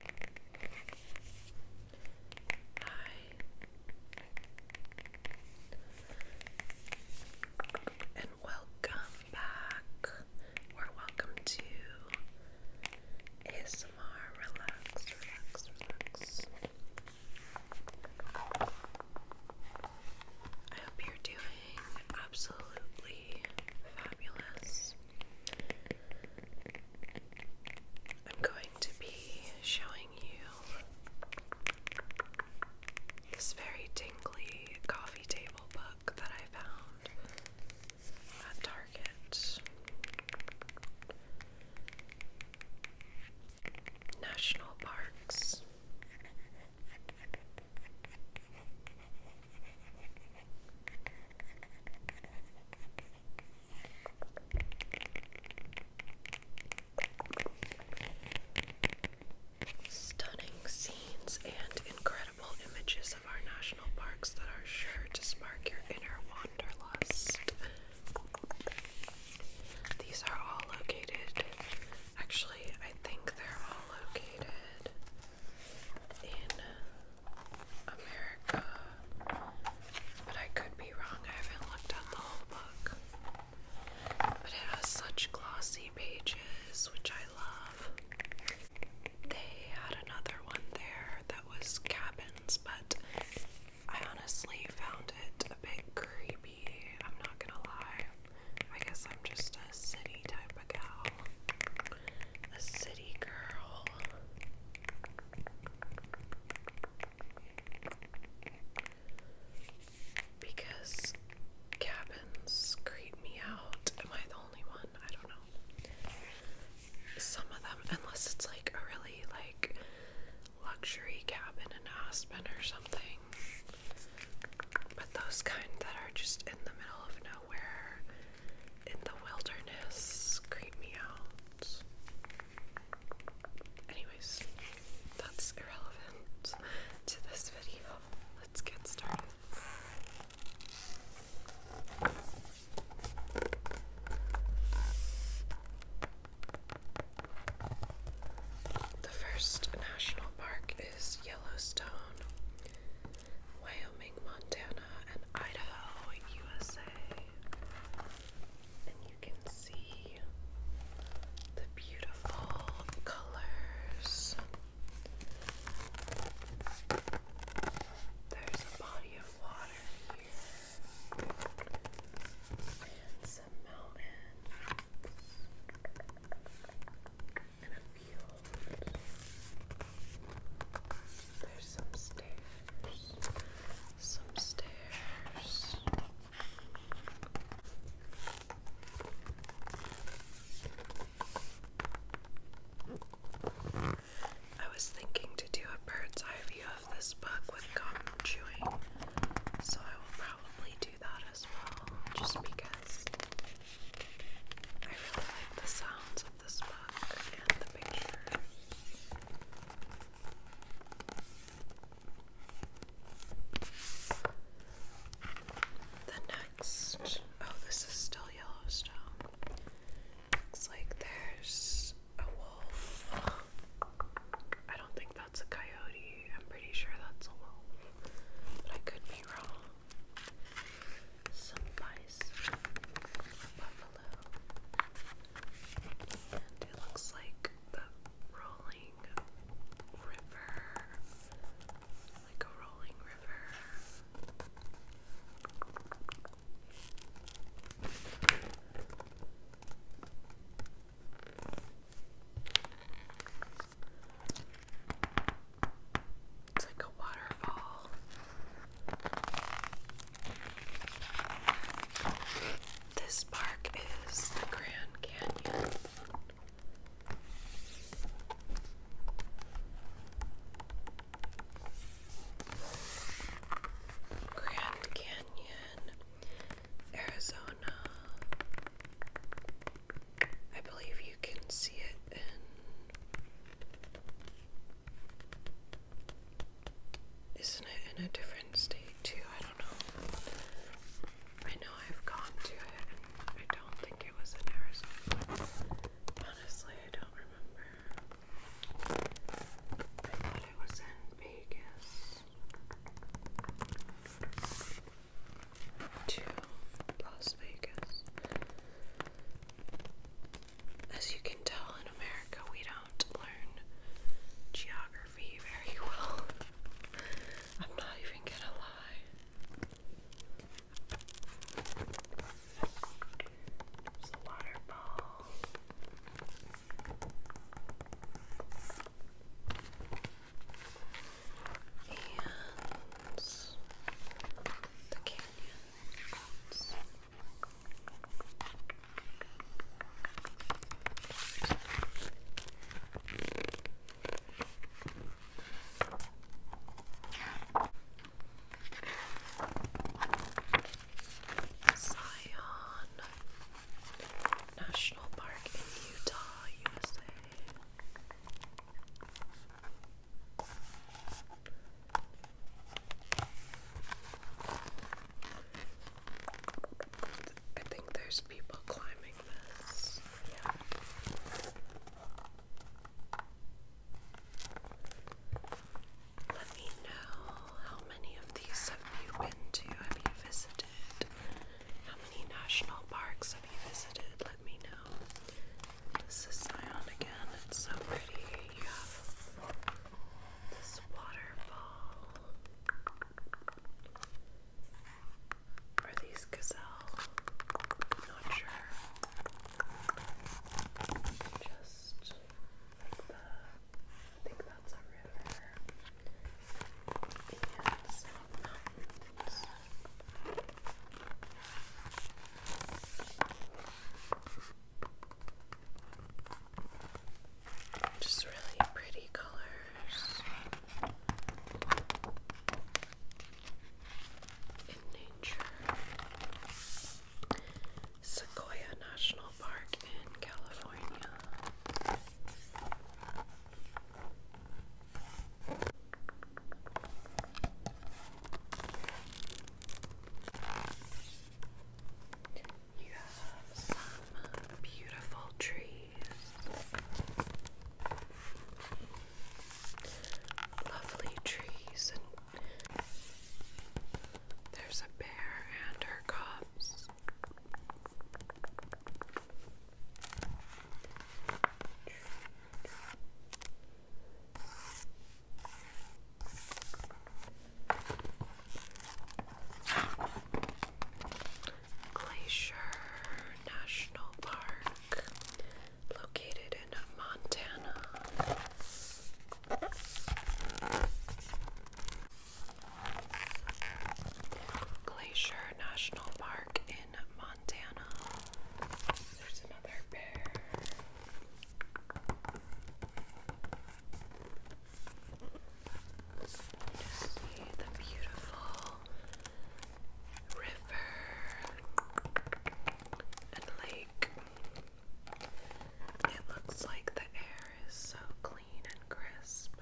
Hi. And welcome back, or welcome to ASMR Relax, Relax, Relax. I hope you're doing absolutely fabulous. I'm going to be showing you this very tingly coffee table book that I found at Target. National Parks. Stunning scenes and incredible images of our national parks that are sure to spark your inner wanderlust. These are all located. Actually, I think they're all located in uh, America, but I could be wrong. I haven't looked at the whole book, but it has such glossy pages, which I love. They had another one there that was cabins, but I honestly found it a bit creepy. I'm not gonna lie. I guess I'm just a city type of gal a city girl. Because cabins creep me out. Am I the only one? I don't know. Some of them, unless it's like a really like luxury cabin in Aspen or something. But those kind that are just in the middle of nowhere in the wilderness creep me out. Anyways, that's irrelevant to this video. Let's get started. The first national park is Yellowstone. Wyoming, Montana, and Idaho, USA. And you can see the beautiful colors. There's a body of water here and some mountains. There's some stairs, some stairs. I was thinking to do a bird's eye view of this book with gum chewing, so I will probably do that as well, just because I really like the sounds of this book and the picture. The next, oh, this is still Yellowstone. Looks like there's a wolf. I don't think that's a coyote. I'm pretty sure that's a wolf, but I could be wrong some ice, buffalo, and it looks like the rolling river, like a rolling river. It's like a waterfall. This park is the Grand Canyon. Grand Canyon, Arizona. I believe you can see it in. not it in a different state too? I don't know. I know I've gone to it and I don't think it was in Arizona. Honestly, I don't remember. I thought it was in Vegas to Las Vegas. As you can tell, in America, we don't learn geography very well. I'm not even gonna lie. There's a waterfall the canyon Zion National Park in Utah, USA. I think there's people climbing this. Yeah. Let me know how many of these have you been to? Have you visited? How many national parks have you visited? Let me know. This is Zion again. It's so pretty. You this waterfall. Are these gazelle? Not sure. Just like that. I think that's a river. Just really pretty colors in nature. Sequoia National Park in California. You have some beautiful trees. Lovely trees, and there's a bear and her cubs. Glacier National Park, located in Montana. Glacier National Park in Montana. There's another bear. You see the beautiful river and lake. It looks like the air is so clean clean and crisp.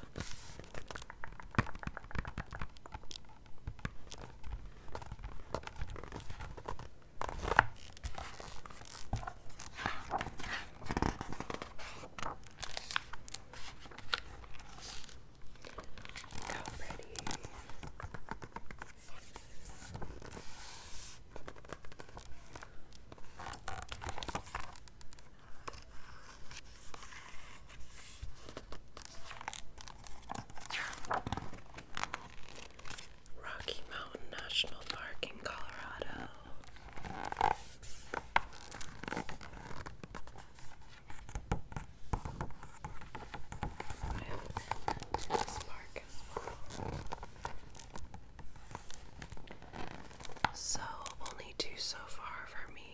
Rocky Mountain National Park in Colorado. I have been to this park as well. So, only two so far for me.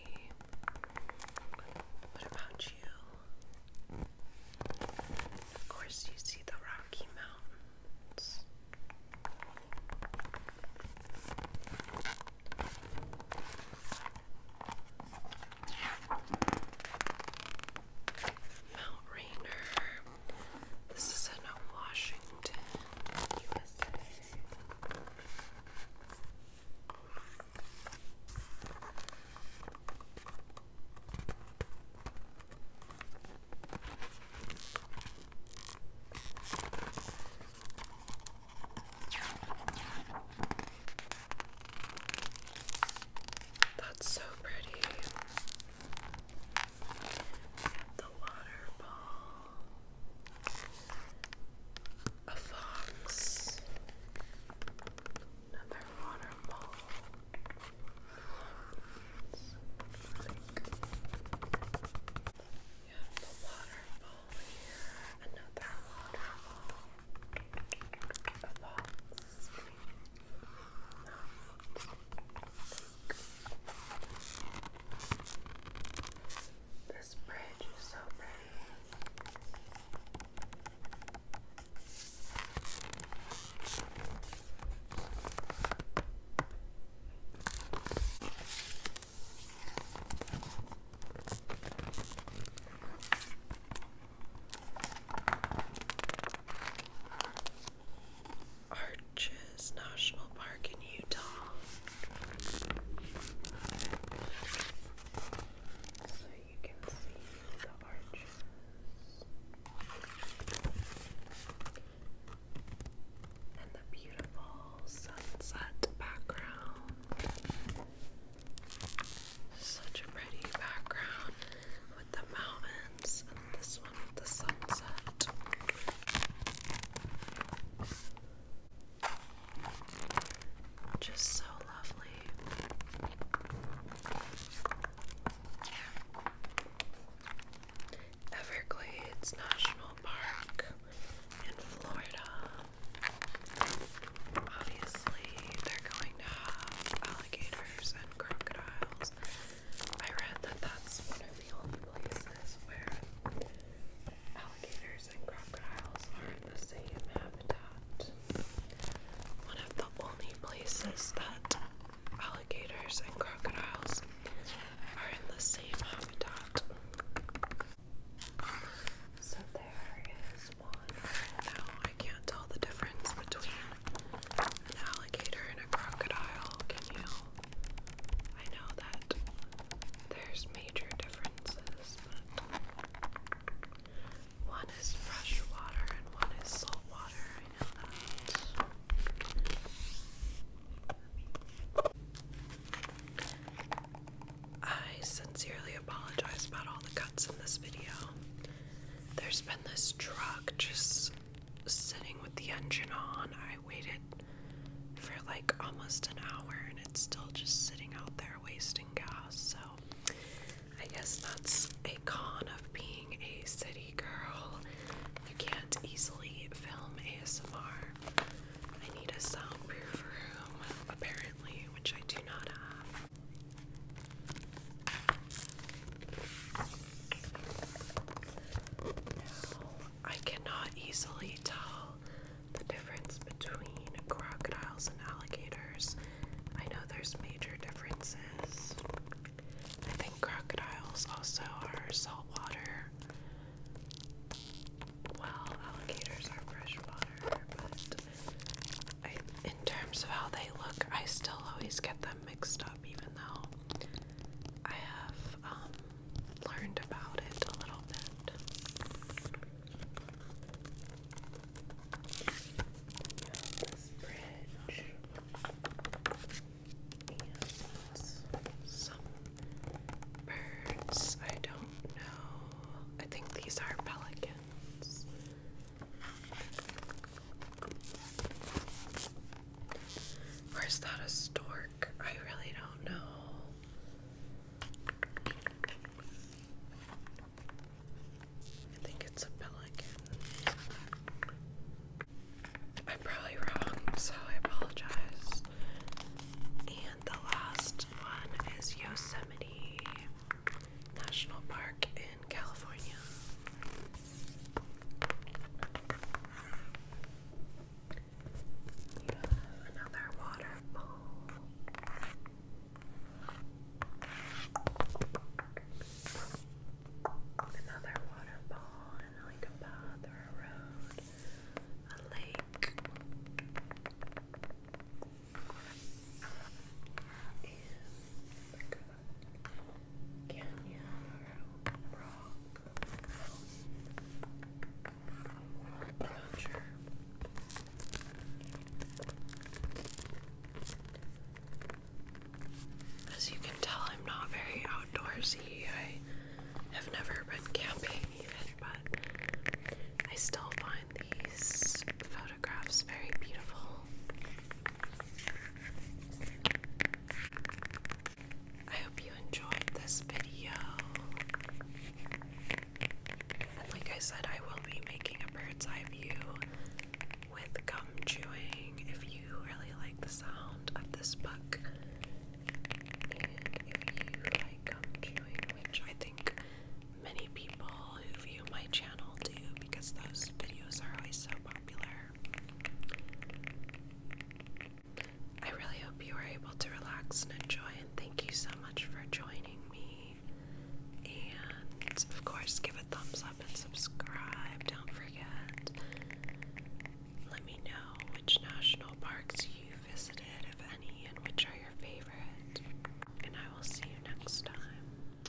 What about you? Of course, you see the Rocky Mountains. Mount Rainier. This is in Washington, USA. That's so pretty. The water a fox, another waterfall. You have the waterfall here, another waterfall, a fox, this bridge is so pretty. I Arches National Park in Utah. So you can see the arches. And the beautiful sunset background. Such a pretty background with the mountains and this one with the sunset. Just so lovely. Everglades National Park in Florida. Obviously, they're going to have alligators and crocodiles. I read that that's the only places where alligators and crocodiles are in the same habitat. One of the only places that alligators and crocodiles are in the same habitat. So there is one. Now I can't tell the difference between an alligator and a crocodile, can you? I know that there's major differences, but one is fresh and one is salt I know that. I sincerely apologize about all the cuts in this video. There's been this truck just sitting with the engine on. I waited for like almost an hour and it's still just sitting out there wasting gas. So I guess that's a con of being a city girl. You can't easily film ASMR. I need a soundproof room, apparently, which I do not have. I cannot easily tell the difference between crocodiles and alligators. I know there's major differences. I think crocodiles also are saltwater, while alligators are freshwater, but in terms of how they look, I still always get them mixed up even though I have um, learned about it a little bit. some birds. I don't know. I think these are pelicans. Or is that a stork? I really don't know. I think it's a pelican. I'm probably wrong, so I apologize. And the last one is Yosemite National Park in California. We have another waterfall. Another waterfall and like a road. A lake. As you can tell, I'm not very outdoorsy. I have never been camping even, but I still find these photographs very beautiful. I hope you enjoyed this video. And like I said, I will be making a bird's eye view with gum chewing if you really like the sound of this book. And if you like gum chewing, which I think many people who view my channel do because those videos are always so popular. I really hope you were able to relax and enjoy, and thank you so much for joining me. And of course, give a thumbs up and subscribe. Don't forget. Let me know which national parks you visited, if any, and which are your favorite. And I will see you next time.